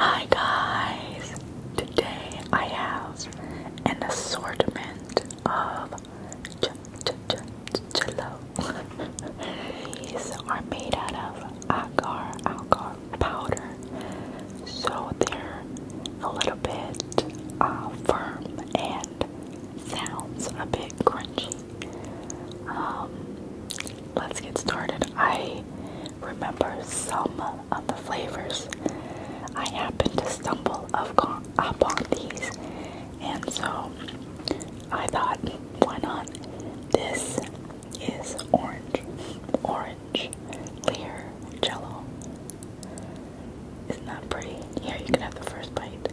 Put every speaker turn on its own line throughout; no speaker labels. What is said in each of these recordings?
Hi guys! Today I have an assortment of ch ch ch jello. These are made out of agar agar powder, so they're a little bit uh, firm and sounds a bit crunchy. Um, let's get started. I remember some of the flavors. I happened to stumble upon these, and so I thought, why not? This is orange, orange, clear jello. Isn't that pretty? Here you can have the first bite.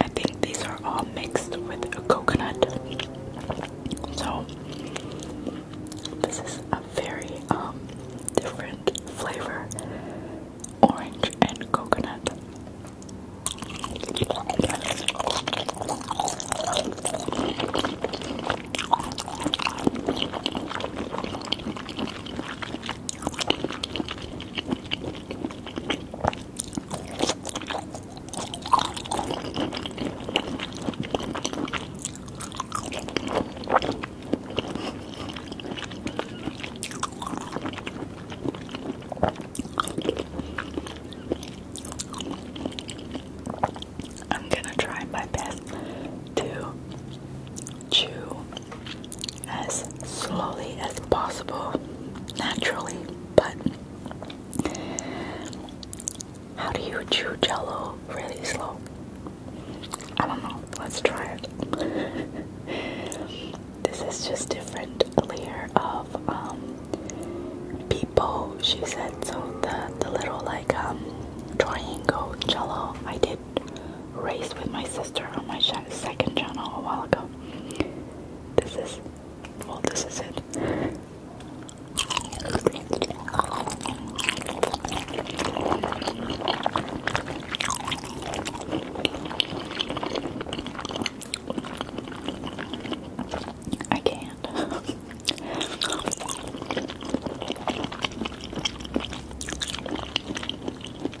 I think these are all mixed with coconut. So this is a very um different flavor. Orange and coconut. I'm gonna try my best to chew as slowly as possible, naturally. But how do you chew jello really slow? I don't know. Let's try it. this is just different layer of um, people she said so the the little like um triangle jello I did race with my sister on my second channel a while ago this is well this is it. I can't.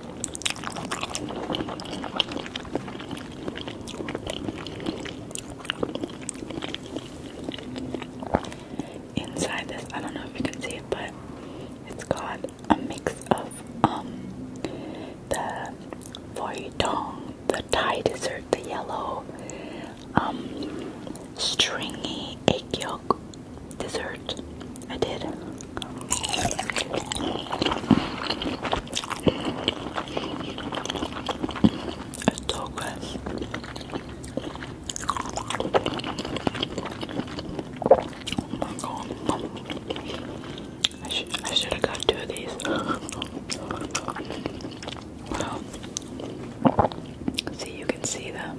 Inside this, I don't know if you can see it, but it's got a mix of um the dong, the Thai dessert, the yellow um stringy egg yolk dessert. I did. It's so good. Oh I should I should have got two of these. see you can see them.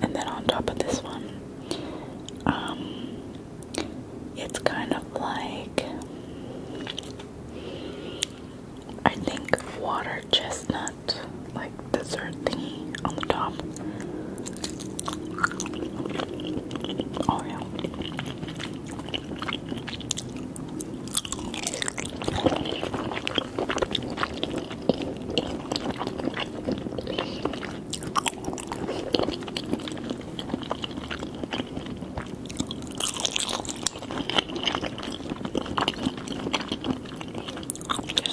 And then on top of this one, um, it's kind of like I think water chestnut, like dessert thingy on the top. Oh yeah. This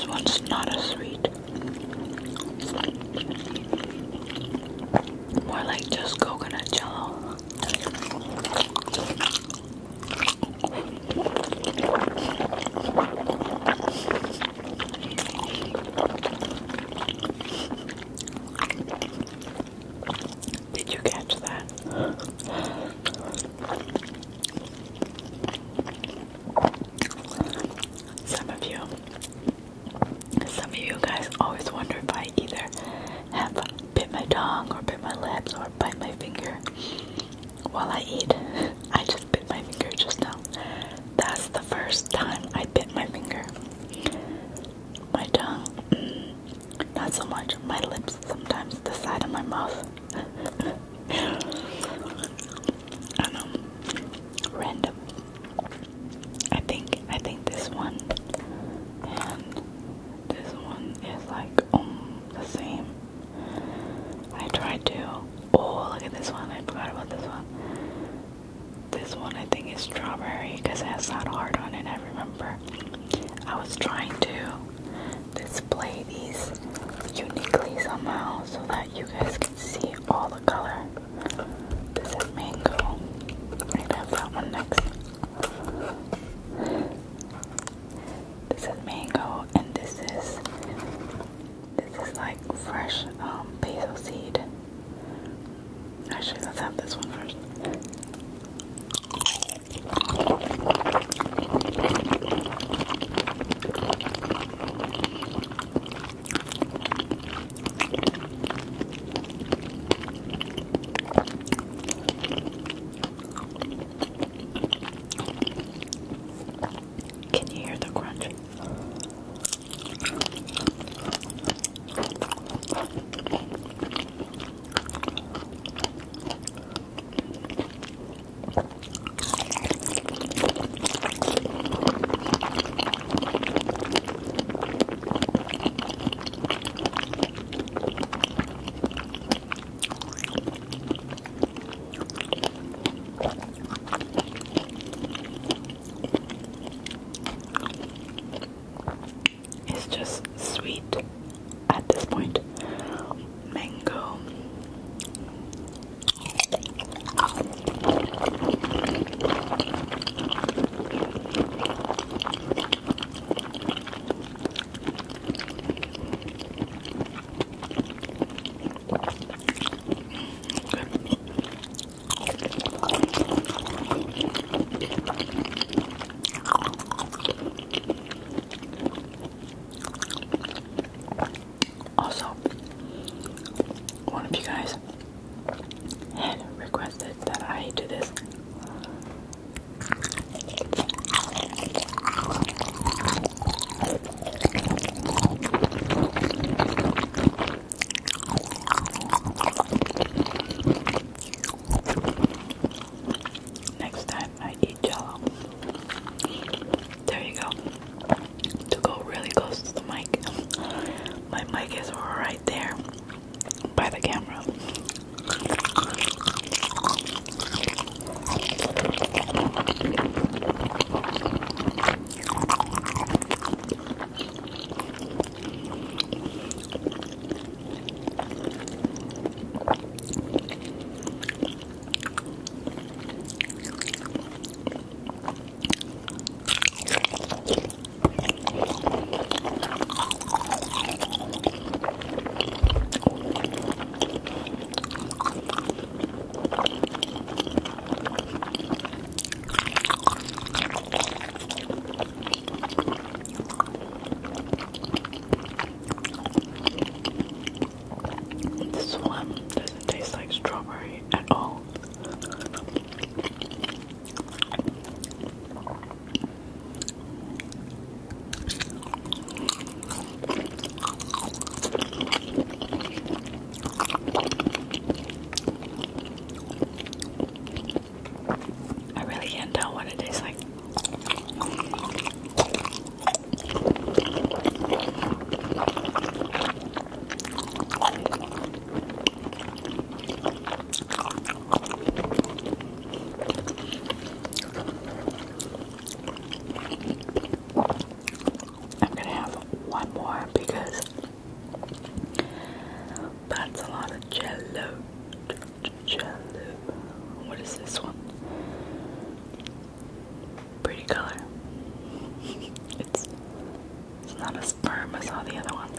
one's not as sweet. More like just coconut jello. Did you catch that? Some of you, some of you guys always wonder if I either have bit my tongue or bit my lips or bite my finger while I eat. I just bit my finger just now. That's the first time I bit my finger. My tongue, mm, not so much. My lips, sometimes the side of my mouth. I know, random. I think I think this one this one is like um, the same. I tried to. Oh, look at this one! I forgot about this one. This one I think is strawberry because it has that heart on it. I remember. I was trying to display these uniquely somehow so that you guys can see all the color. This is mango. I have that one next. This is mango, and this is this is like fresh um, basil seed. Actually, let's have this one first. Can you hear the crunch? It's just sweet at this point. Mango. Also, one of you guys had requested that I do this Next time I eat jello, there you go. To go really close to the mic, my mic is right there by the camera. This one doesn't taste like strawberry at all. I really can't tell what it tastes like. I'm gonna have one more because that's a lot of jello. Jello. What is this one? Pretty color. It's it's not a sperm. I saw the other one.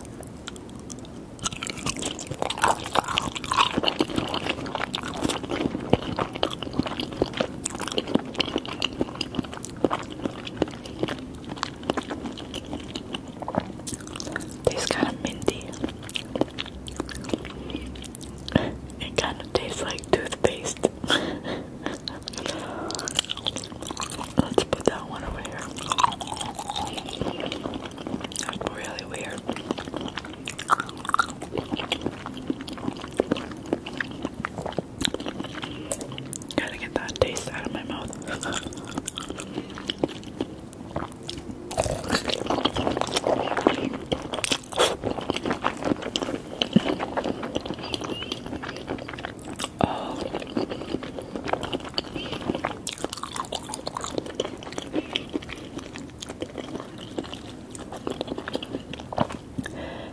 Tastes kind of minty. It kind of tastes like toothpaste. Let's put that one over here. That's really weird. Gotta get that taste out of my mouth. oh.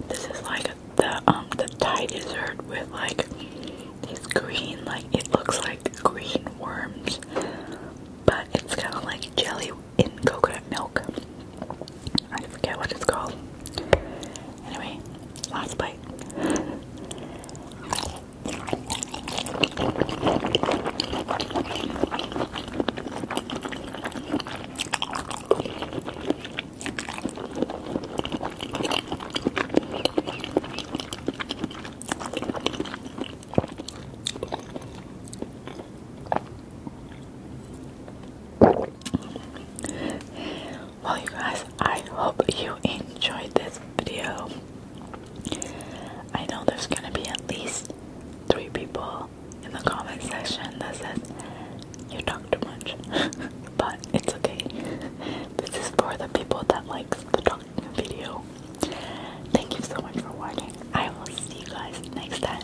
This is like the um the Thai dessert with like these green like it looks like green worms but it's kind of like jelly in coconut milk. I forget what it's called. Anyway, last bite. Well, you guys, I hope you enjoyed this video. I know there's gonna be at least three people in the comment section that says you talk too much, but it's okay. This is for the people that likes the talking video. Thank you so much for watching. I will see you guys next time.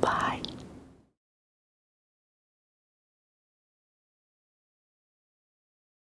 Bye.